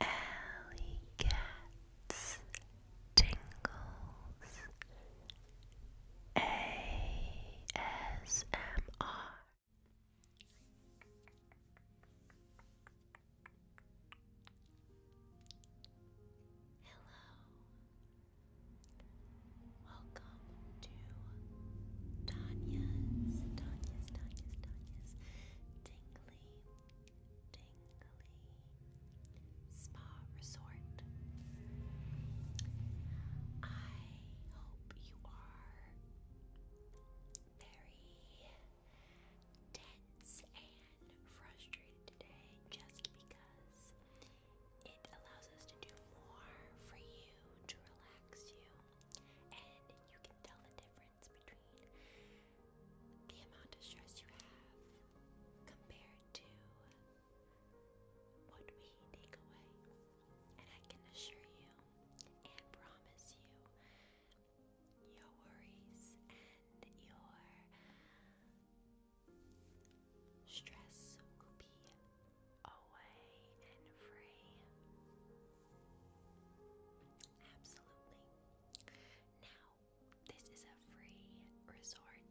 Alley cats tingles ASMR. Hello, welcome to Tanya's, Tanya's, Tanya's, Tanya's tingly, spa resort. I hope you are very tense and frustrated today just because it allows us to do more for you to relax you and you can tell the difference between the amount of stress you have compared to what we take away. And I can assure you and promise you, your worries and your stress will be away and free. Absolutely. Now, this is a free resort,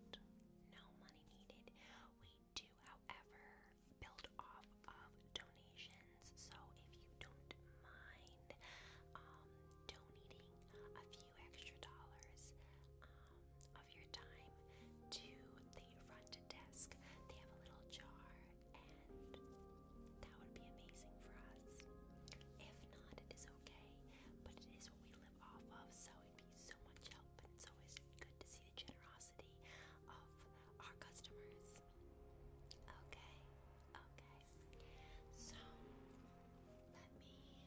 no money needed. We do, however, build off of donations, so if you don't mind um, donating a few extra dollars um, of your time to the front desk, they have a little jar and that would be amazing for us. If not, it is okay, but it is what we live off of, so it'd so much help, and it's always good to see the generosity of our customers. Okay, okay. So let me get the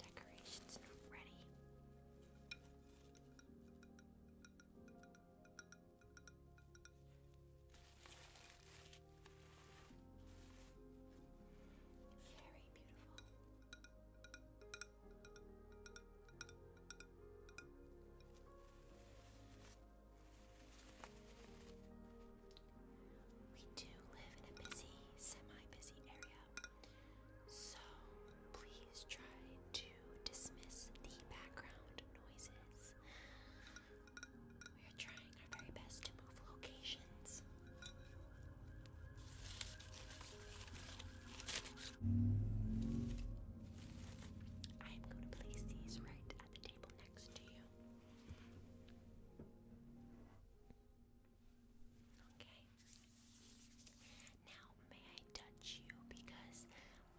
decorations ready. Very beautiful. We do live in a busy, semi busy area, so please try to dismiss the background noises. We are trying our very best to move locations. I am going to place these right at the table next to you. Okay. Now, may I touch you? Because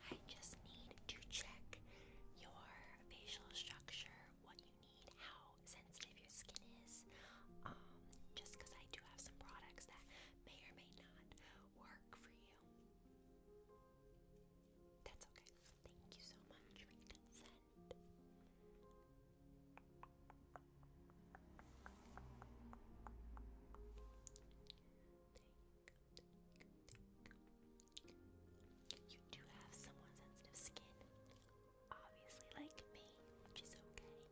I just need to check your facial structure, what you need, how sensitive your skin is. Um, just because I do have some products that may or may not work for you. That's okay. Thank you so much consent. You do have somewhat sensitive skin, obviously, like me, which is okay.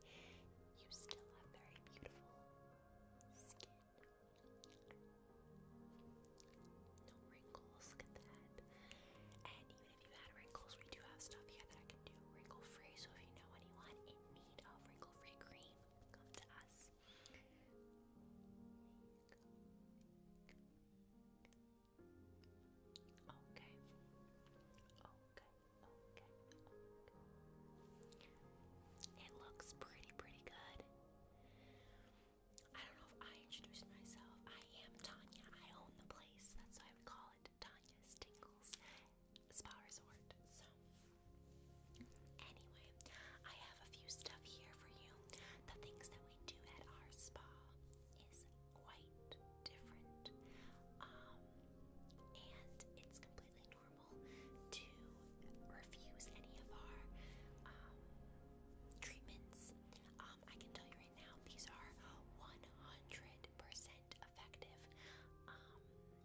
You still have very beautiful skin. No wrinkles, look at that. And even if you had wrinkles, we do have stuff here that I can do wrinkle free. So if you know anyone in need of wrinkle free cream, come to us. Okay. Okay. Okay. Okay. It looks pretty, pretty good. I don't know if I introduced myself. I am Tanya. I own the place. That's why we call it Tanya's Tingles Spa Resort. So Anyway, I have a few stuff here for you. The things that we do at our spa is quite different. Um, and it's completely normal to refuse any of our um, treatments. Um, I can tell you right now, these are 100% effective.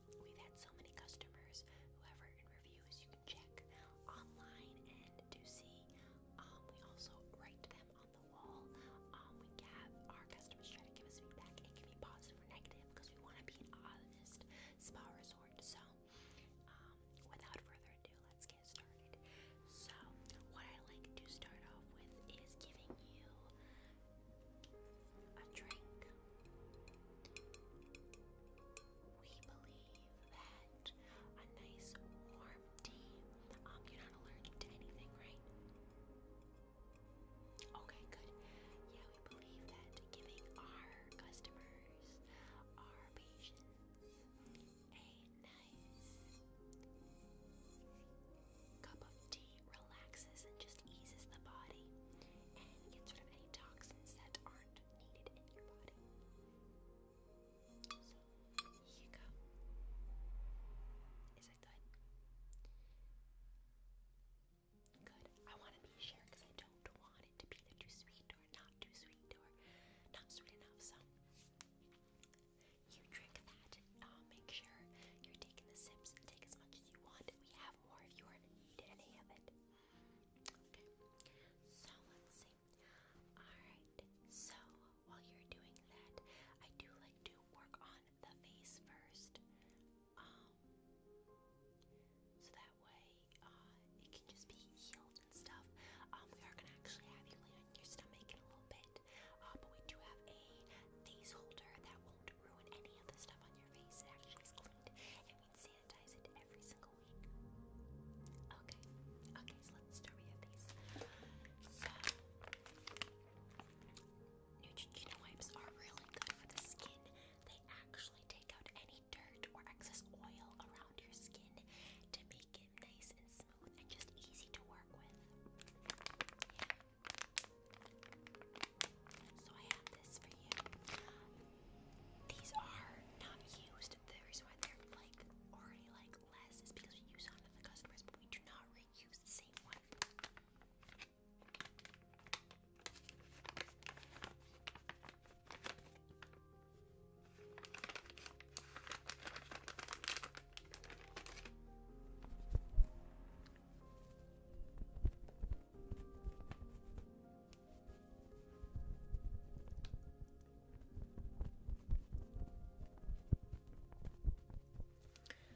we've had so many customers who have written reviews. You check online and to see. Um, we also write them on the wall. Um, we have our customers try to give us feedback. It can be positive or negative because we want to be an honest spa resort. So, um, without further ado, let's get started. So, what I like to start off with is giving you a drink we believe that a nice warm tea. Um, you're not allergic to anything, right? Okay, good. Yeah, we believe that giving our customers, our patients, a nice cup of tea relaxes and just eases the body and gets rid of any toxins that aren't amount you Is it good? Good. I want to be sure because I don't want it to be too sweet or not too sweet or not sweet enough. So, you drink that. Uh, make sure you're taking the sips. Take as much as you want. We have more if you need any of it. Okay. So let's Alright, so while you're doing that, I do like to work on the face first. Um, so that way uh, it can just be healed and stuff. Um, we are going to actually have you lay on your stomach a little bit, uh, but we do have a face holder that won't ruin any of the stuff on your face. It actually is cleaned. It means sanitize Neutrogena wipes are really good for the skin. They actually take out any dirt or excess oil around your skin to make it nice and smooth and just easy to work with. So I have this for you. These are not used most the reason why they're like already like less is because we use on the customers, but we do not reuse the same one.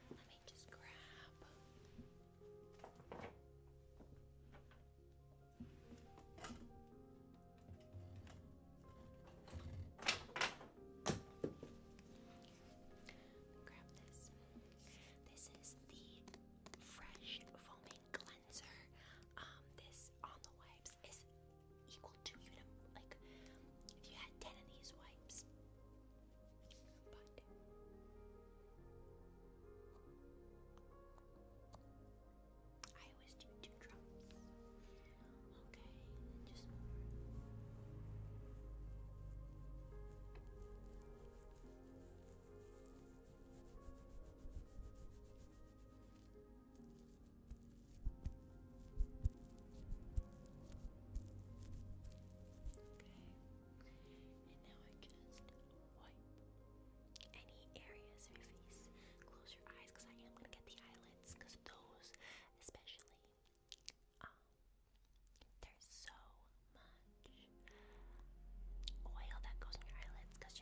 Let me just grab. Grab this. This is the fresh foaming cleanser. Um, this on the way wipes is equal to you like if you had ten of these wipes. I always do two drops. Okay. Okay. And now I just wipe any areas of your face. Close your eyes I am going to get the eyelids those, especially, um, there's so much oil that goes in your eyelids because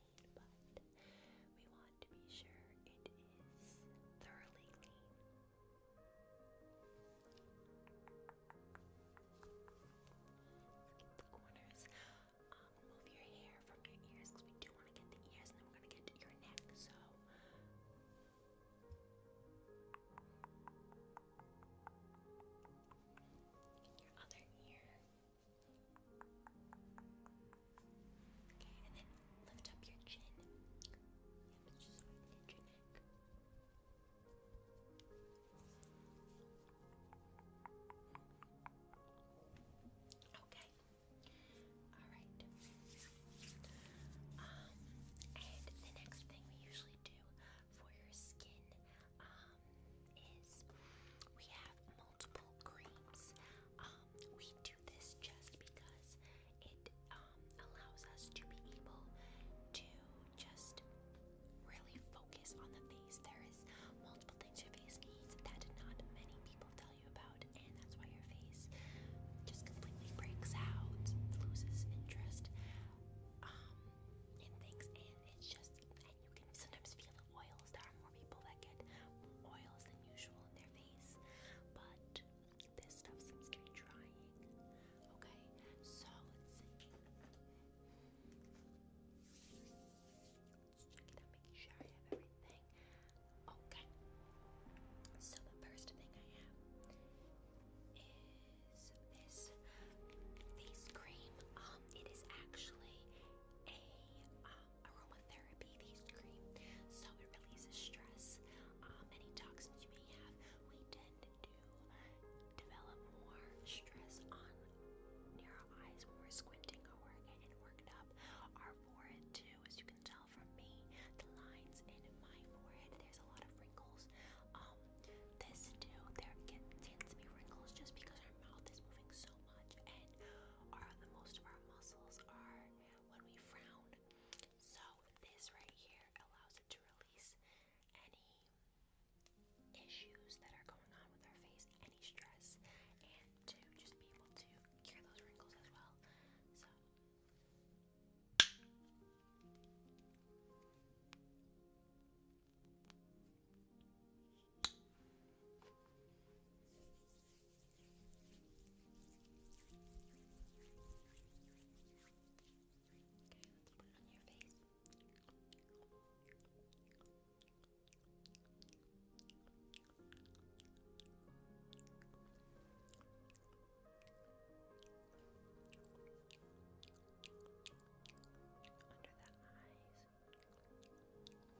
clean, but we want to be sure it is thoroughly clean. get the corners. Um, move your hair from your ears because we do want to get the ears and then we're going to get your neck. So. your other ear. Okay, and then lift up your chin. Yep, just lift your neck. Okay. Alright. Um, and the next thing we usually do for your skin um, is we have multiple creams. Um, we do this just because it um, allows us to be able to just really focus on the face. There is multiple things your face needs that not many people tell you about, and that's why your face just completely breaks out, loses interest um, in things, and it's just and you can sometimes feel the oils. There are more people that get oils than usual in their but this stuff seems to drying. Okay, so let's see. making sure I have everything. Okay, so the first thing I have is this face cream. Um, it is actually a um aromatherapy face cream, so it releases stress. Um, any toxins you may have, we tend to develop more stress on near eyes when squinting or we're worked up. Our forehead too, as you can tell from me, the lines in my forehead, there's a lot of wrinkles. Um, this too, there tends to be wrinkles just because our mouth is moving so much and most of our muscles are when we frown. So this right here allows it to release any issues that are going on with our face, any stress, and to just be able to cure those wrinkles as well. So Okay, let's put it on your face. Under the eyes. Over here,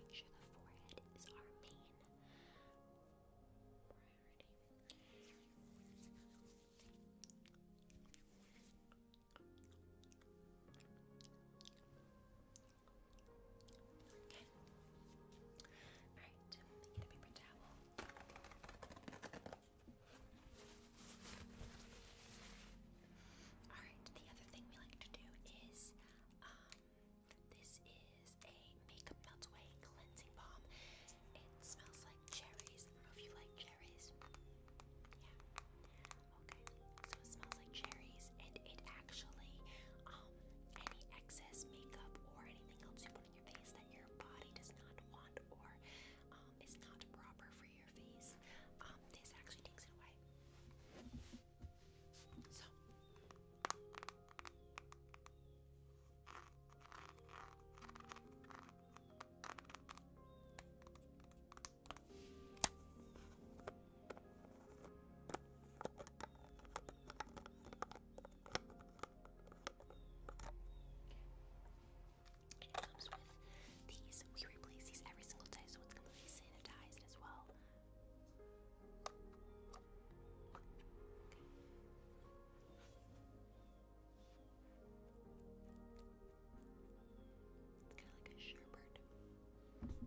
Make sure the forehead is our main priority. Okay. Alright, get a paper towel. Alright, the other thing we like to do is um, this is a makeup melt cleansing balm. It smells like cherries. I don't know if you like cherries. Yeah. Okay. So it smells like cherries and it actually um, any excess makeup or anything else you put on your face that your body does not want or um, is not proper for your face. Um, this actually takes it away. So it comes with these. We replace these every single day, so it's completely sanitized as well. It's kind of like a sherbet. There's that.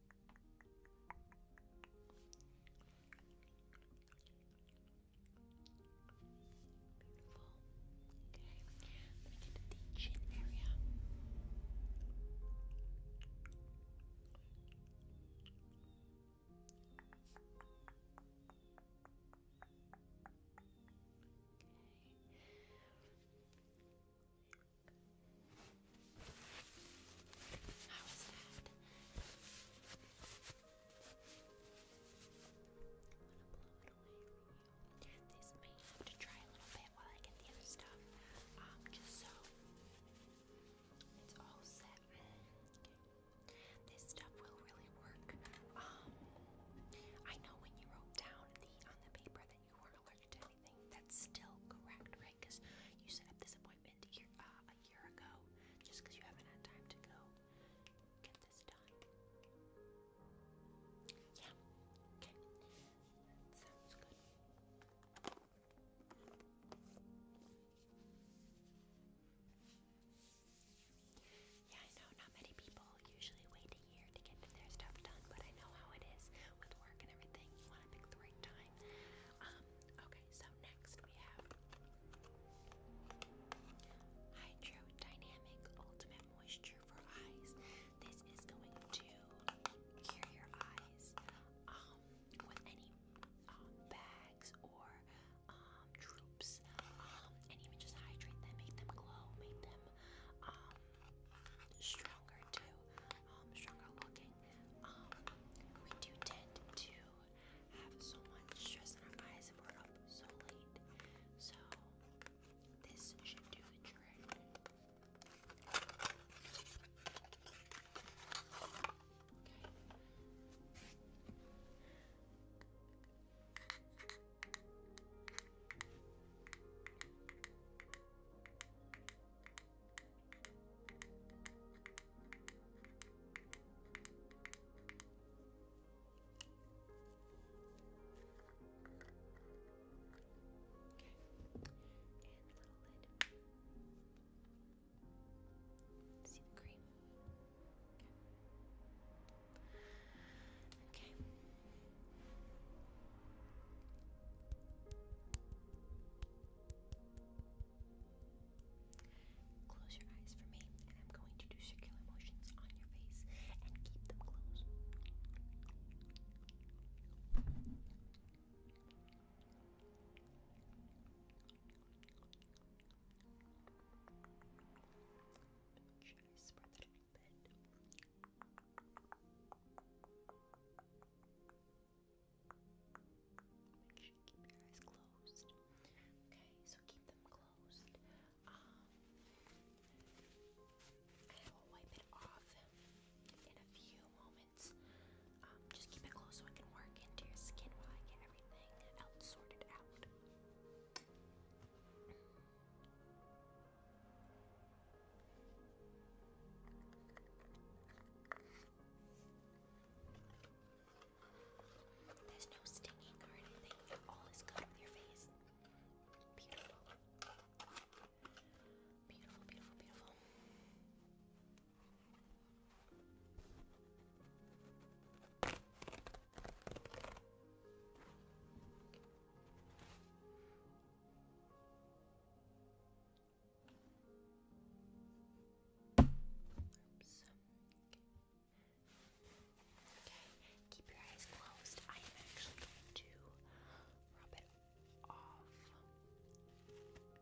Beautiful. Okay, I'm get to the chin area. How is that? I'm gonna blow it away from you. This may have to dry a little bit while I get the other stuff. Um, just so it's all set. This stuff will really work. Um, I know when you wrote down the on the paper that you weren't allergic to anything. That's still correct, right? Because you set up this appointment uh, a year ago just you haven't had time to go get this done. Yeah, okay. sounds good. Yeah, I know not many people usually wait a year to get their stuff done, but I know how it is with work and everything. You want to pick the right time. Um, okay. Okay, so next we have Hydro Ultimate Moisture for Eyes. This is going to cure your eyes um, with any um, bags or um, um, and even just hydrate them, make them glow, make them stronger too, stronger looking. we do tend to have so much stress in our eyes if we're up so late. So this should do the trick. And a little lid. See the cream? Okay. okay. Okay. Close your eyes for me, and I'm going to do circular motions on your face and keep them closed. spread a little bit? Make sure you keep your eyes closed. Okay, so keep them closed. Um, I will wipe it off in a few moments. Um, just keep it closed so I can work into your skin while I get everything else sorted out. There's no stinging or anything. All is good with your face. Beautiful. Beautiful, beautiful, beautiful. Oops. Okay, keep your eyes closed. I am actually going to Rub it off. Okay, underneath is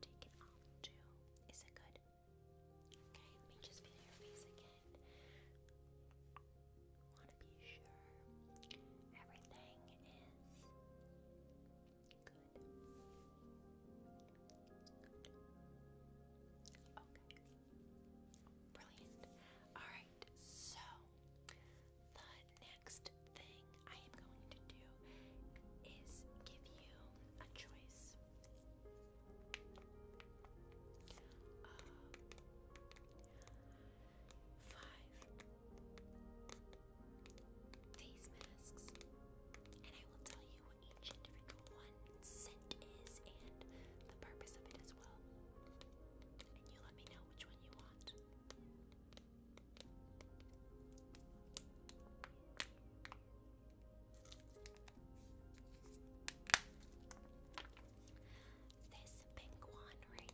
take it off too. Is it good? Okay, let me just feel your face again. Want to be sure everything is good. Okay. Brilliant. All right. So the next thing I am going to do is give you a choice of uh, five face masks, and I will tell you what each individual one scent is and the purpose of it as well. And you let me know which one you want. This pink one right here is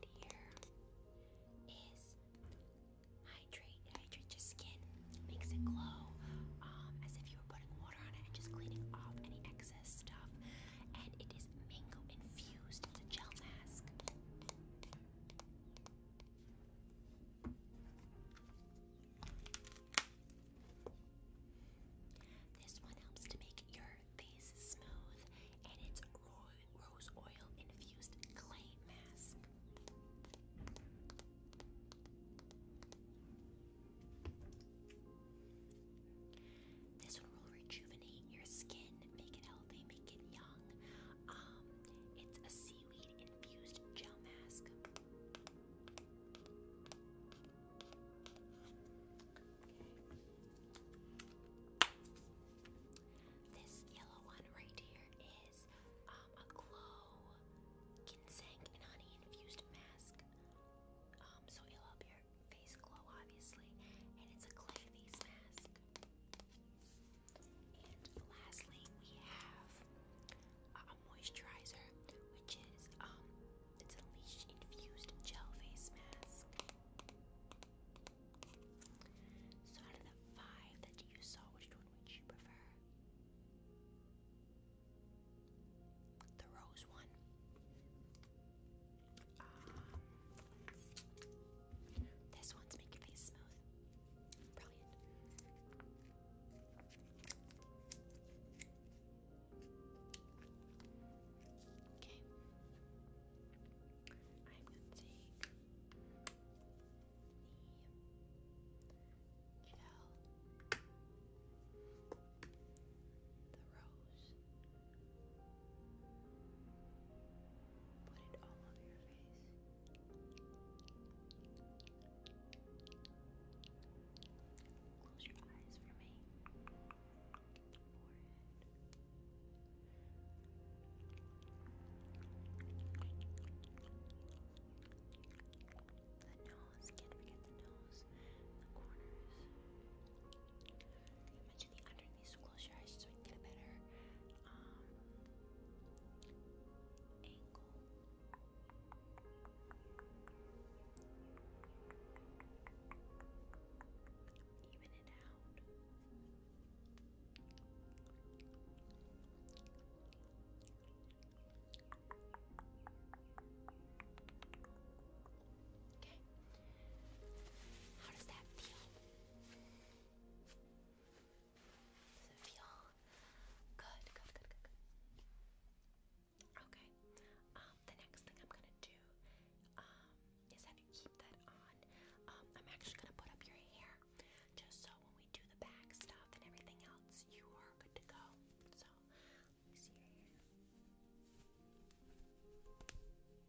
hydrate. hydrates skin, makes it glow, um, as if you were putting water on it and just cleaning off any excess stuff. And it is mango infused. gel mask. This one helps to make your face smooth, and it's rose oil infused clay mask. This one will rejuvenate your skin, make it healthy, make it young. Um, it's a sea seaweed infused gel This yellow one right here is um, a glow ginseng and honey infused mask. Um, so it'll help your face glow, obviously, and it's a clay face mask lastly, we have a moisturizer, which is um, it's a leash infused gel face mask. So out of the five that you saw, which one would you prefer? The rose one. Um, this one's make your face smooth. Brilliant. Okay. I'm going to take the gel, the rose, put it all over your face. Close your eyes for me. The nose. can the nose. The corners. I mentioned the underneath. So close your eyes so I get a better um, angle. Even it out. Okay. How does that feel? Does feel Good, Okay. Um, the next thing I'm gonna do um, is have you keep that on. Um, I'm actually gonna put up your hair just so when we do the back stuff and everything else, you are good to go. So let me see Get the hair over here.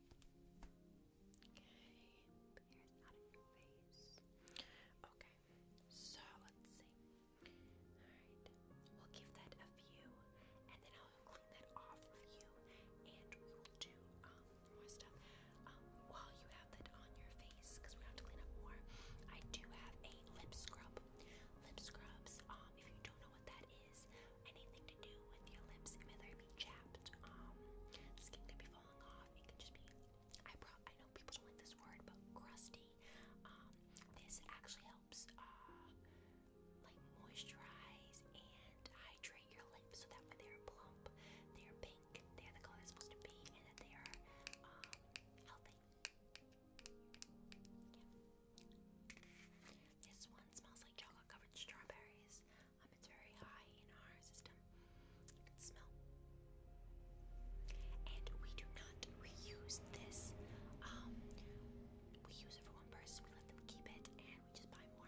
Okay, Okay, so let's see. we'll give that a view and then I'll clean that off for you and we will do more stuff um, while you have that on your face because we have to clean up more. I do have a lip scrub. Lip scrubs, um, if you don't know what that anything to do with your lips, whether it be chapped, um, skin could be falling off, it could just be, I, know people don't like this word, but crusty. Um, this actually helps, uh, like moisturize and hydrate your lips so that when they're plump, they're pink, they're the color they're supposed to be, and that they are, um, healthy. Yeah. This one smells like chocolate covered strawberries. it's very high in our system. You can smell. And we do not reuse this. Um, we use it for one person, we let them keep it, and we just buy more.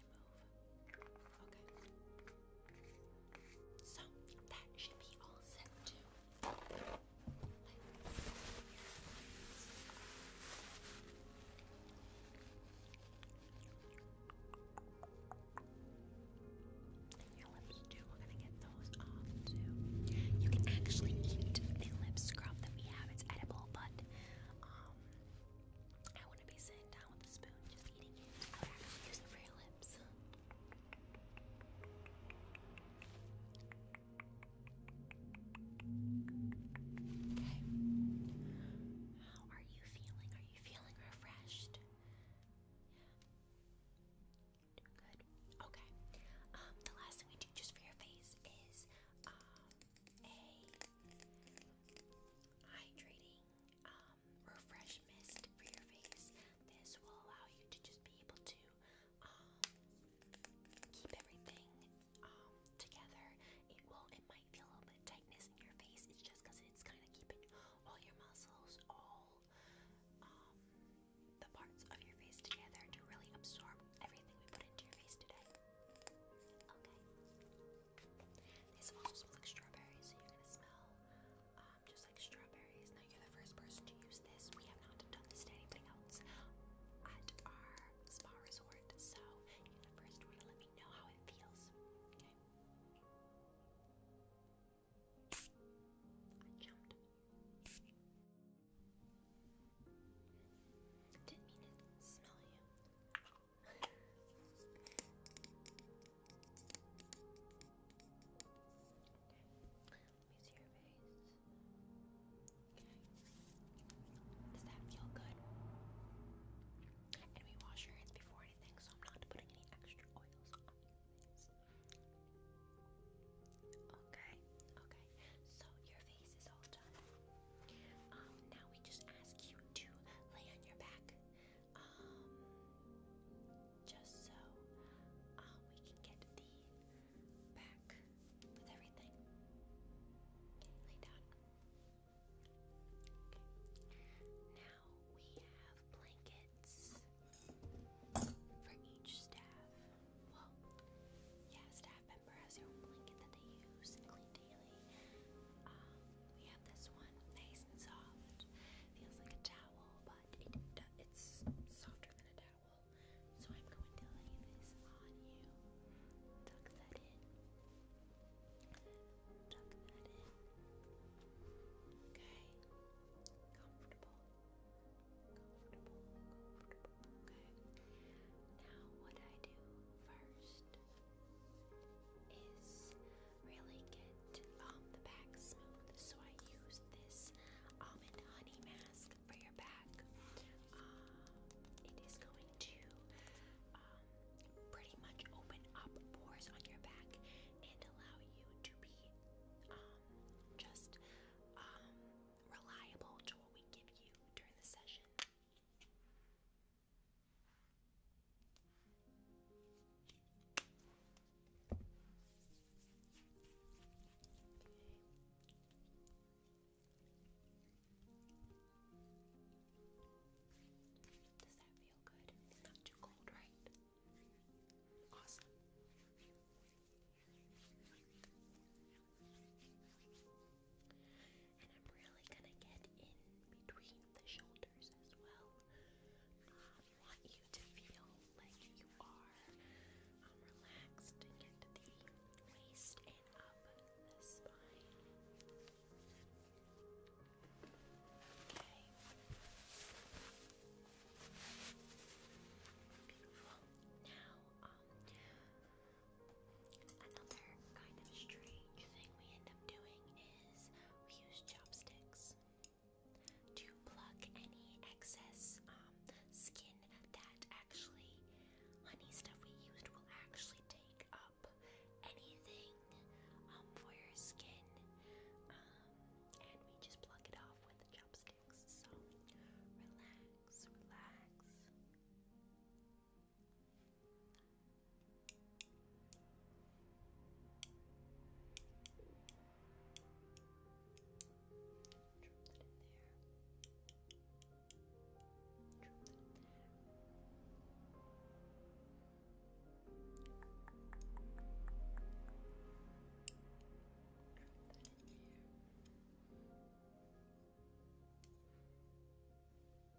So that should be all set too. your lips too. We're gonna get those off too. You can actually eat the lip scrub that we have. It's edible, but um, want to be sitting down with a spoon just eating it. How are you feeling? Are you feeling refreshed? good. Okay. Um, the last thing we do just for your face is um, a hydrating um, refresh mist for your face. This will allow you to just be able to um, keep everything um, together. It will. It might feel a little bit tightness in your face. It's just because it's kind of keeping all your muscles, all the parts of your face together to really absorb everything we put into your face today. Okay. These also smell like strawberries, so you're gonna smell um, just like strawberries. Now you're the first person to use this. We have not done this to anything else at our spa resort, so you're the first one to let me know how it feels. Okay. I jumped. Didn't mean to smell you. Let me Does that feel good? And we wash your hands before anything, so I'm not putting any extra oils on your face. Okay, okay. So your face is all done. Um, now we just ask you to lay on your back. Um, just so uh, we can get the back with everything. lay down. Now we have blankets for each staff. Well, yeah, staff member has their own blanket that they use daily. Um, we have this one, nice and soft. Feels like a towel, but it's softer than a towel. So I'm going to lay this on you. Tuck that in. Tuck that in. Okay. Comfortable. Comfortable. Comfortable. Okay. Now, what I do first is really get um, the back smooth. So I use this almond honey mask for your back. Um, it is going to um, pretty much open up pores on your back and allow you to be just reliable to what we give you during the session. Does that feel good? not too cold, right? Awesome. And I'm really gonna get in between the shoulders as well. Um, want you to feel like you are um, relaxed and get the waist and up the spine. Okay. Beautiful. Now, um, Another kind of strange thing we end up doing is we use chopsticks to pluck any excess um, skin that actually honey stuff we used will actually take up anything um, for your skin, um, and we just pluck it off with chopsticks. So relax, relax. Drop that in here. Drop that in here.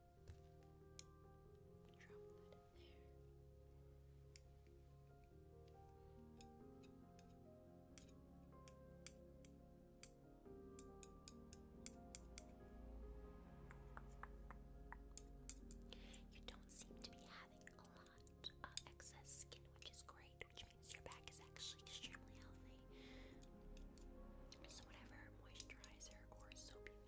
Drop there. You don't seem to be having a lot of excess skin, which is great, which means your back is actually extremely healthy. So, whatever moisturizer or soap you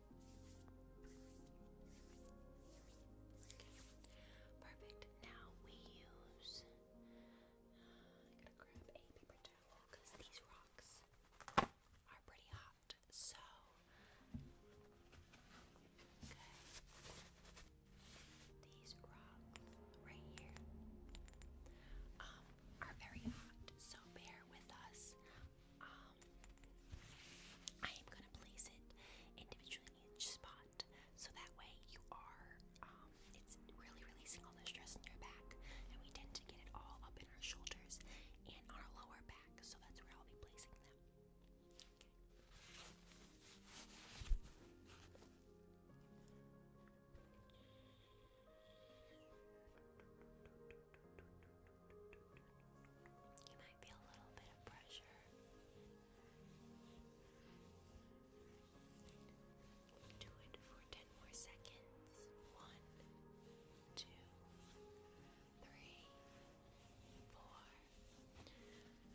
Okay. Perfect. Now we use. Uh, to grab a paper towel because these rocks are pretty hot. So. These rocks right here um, are very hot, so bear with us. Um, I am gonna place it individually in each spot, so that way you are. Um, it's really releasing all the stress in your back, and we tend to get it all up in our shoulders and our lower back. So that's where I'll be placing them. You might feel a little bit of pressure. Do it for 10 more seconds. One, two, three, four,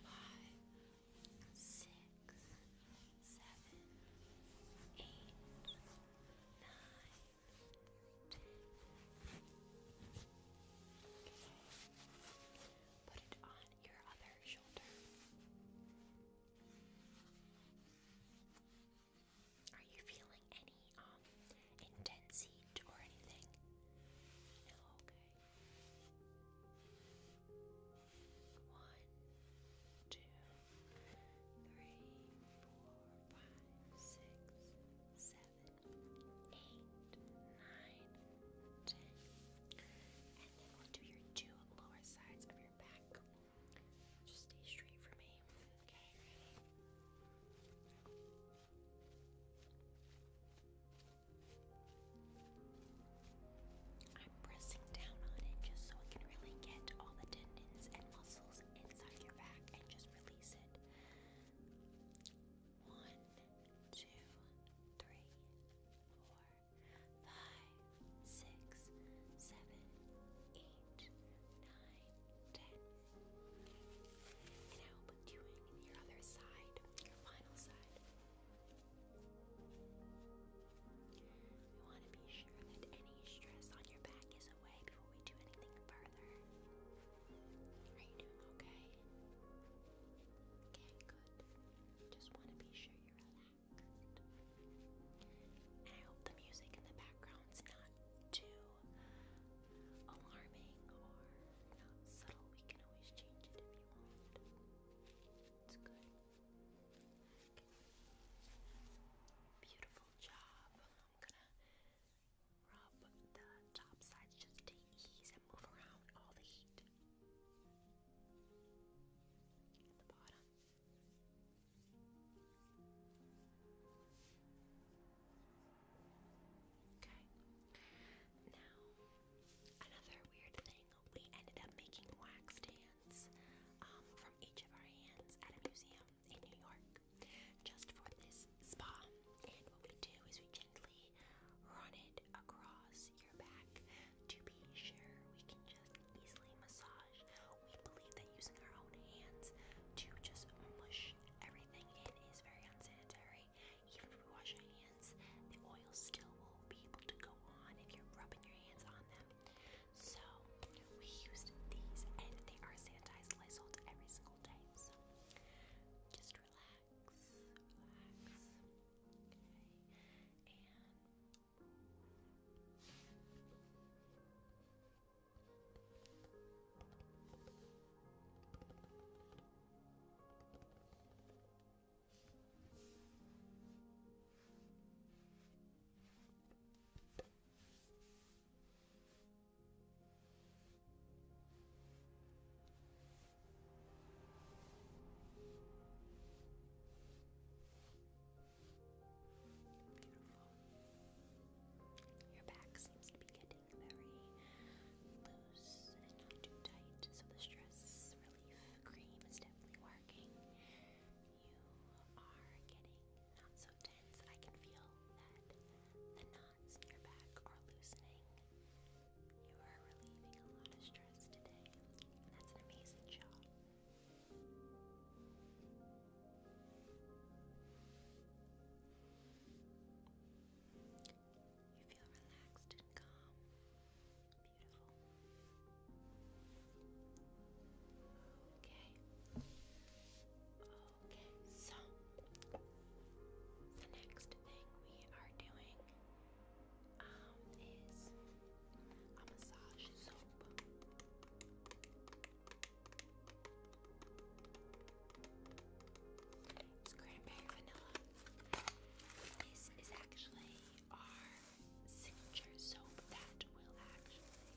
five, six, seven, eight, nine, Okay. Put it on your other shoulder. Are you feeling any um intense or anything? No, okay. One, two, three, four, five, six, seven, eight, nine, ten. And then we'll do your two lower sides of your back. Just stay straight for me. Okay, ready? I'm pressing down on it just so it can really get all the tendons and muscles inside your back and just release it. One, two, three, four, five, six, seven, eight, nine, ten. And now I'm doing your other side, your final side. We want to be sure that any stress on your back is away before we do anything further further. Are you doing okay? Okay, good. Just want to be sure you're relaxed. I hope the music in the background's not too alarming or not subtle. We can always change it if you want. It's good. Beautiful job. Rub the top sides just to ease and move around all the heat. Okay. Now, another weird thing, we ended up making wax stands um, from each of our hands at a museum in New York just for this spa. And what we do is we gently run it across your back to be sure we can just easily massage. We believe that using our own hands to just mush everything in is very unsanitary. Even if we wash our hands, the oil still will be able to go on if you're rubbing your hands on them. So we used these and they are sanitized Lysol to every single school time, so just relax, relax, okay, and Okay. Beautiful. Your back seems to be getting very loose and not too tight, so the stress relief cream is definitely working. You are getting not so tense. I can feel that the your back are loosening. You are relieving a lot of stress today, that's an amazing job. You feel relaxed and calm. Beautiful. Okay. Okay, so the next thing we are doing um, is a massage soap. It's cranberry vanilla. This is actually our signature soap that will actually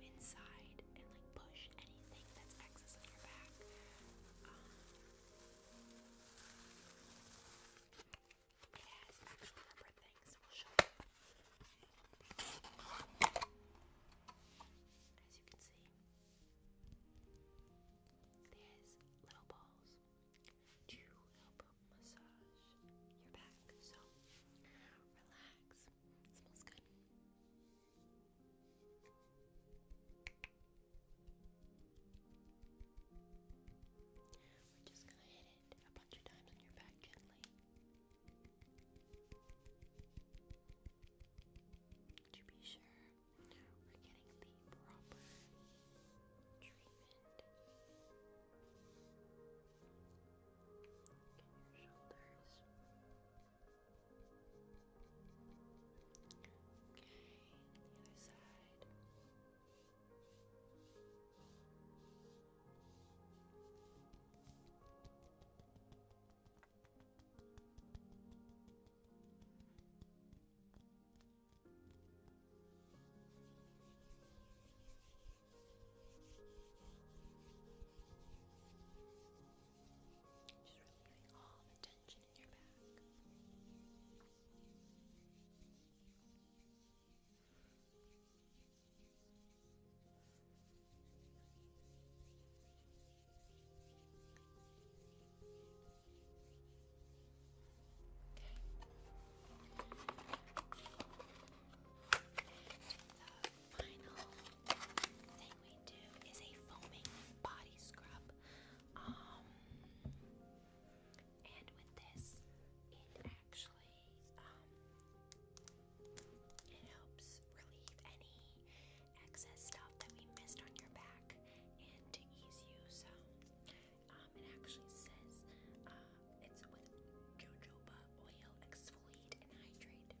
inside and like push anything that's excess on your back. Um, As you can see, there's little balls to help massage your back. So relax. smells good. We're just gonna hit it a bunch of times on your back gently. To be sure we're getting the proper treatment. Get your shoulders. Okay, the other side. Okay. Just relieving all the tension in your back. Okay. Uh, final thing we do is a foaming body scrub. and with this, it actually it helps relieve any excess stuff that we missed on your back and to ease you. So it actually says it's with jojoba oil, exfoliate and hydrate.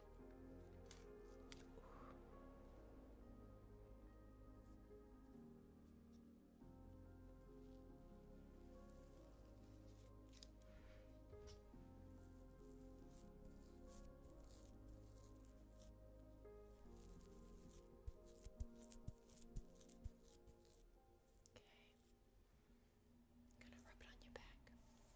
Okay. i gonna rub it on your back.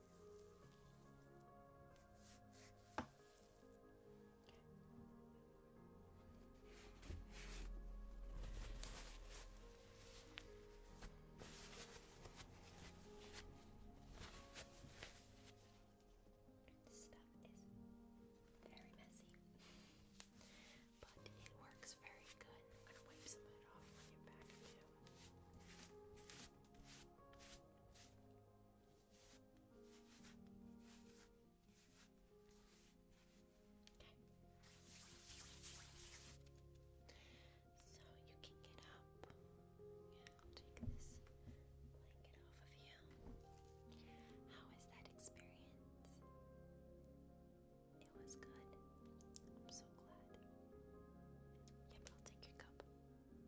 This stuff is very messy, but it works very good. I'm gonna wipe some of it off on your back too. So you can get up. I'll take this blanket off of you. How was that experience? It was good. I'm so glad. Yep, I'll take your cup. Thank you.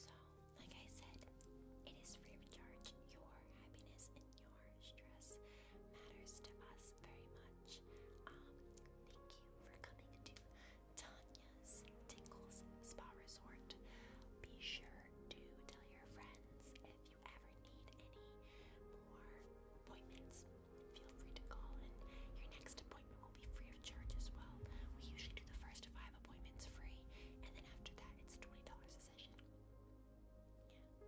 So, like I said, it is free of charge. Your happiness and your stress matters to us very much. Um, thank you for coming to Tanya's Tingles Spa Resort. Be sure to tell your friends if you ever need any more appointments, feel free to call, your next appointment will be free of charge as well. We usually do the first five appointments free, and then after that, it's $20 a session.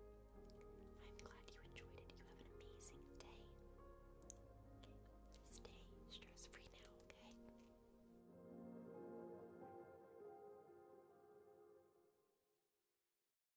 I'm glad you enjoyed it. You have an amazing day. Stay stress free now, okay?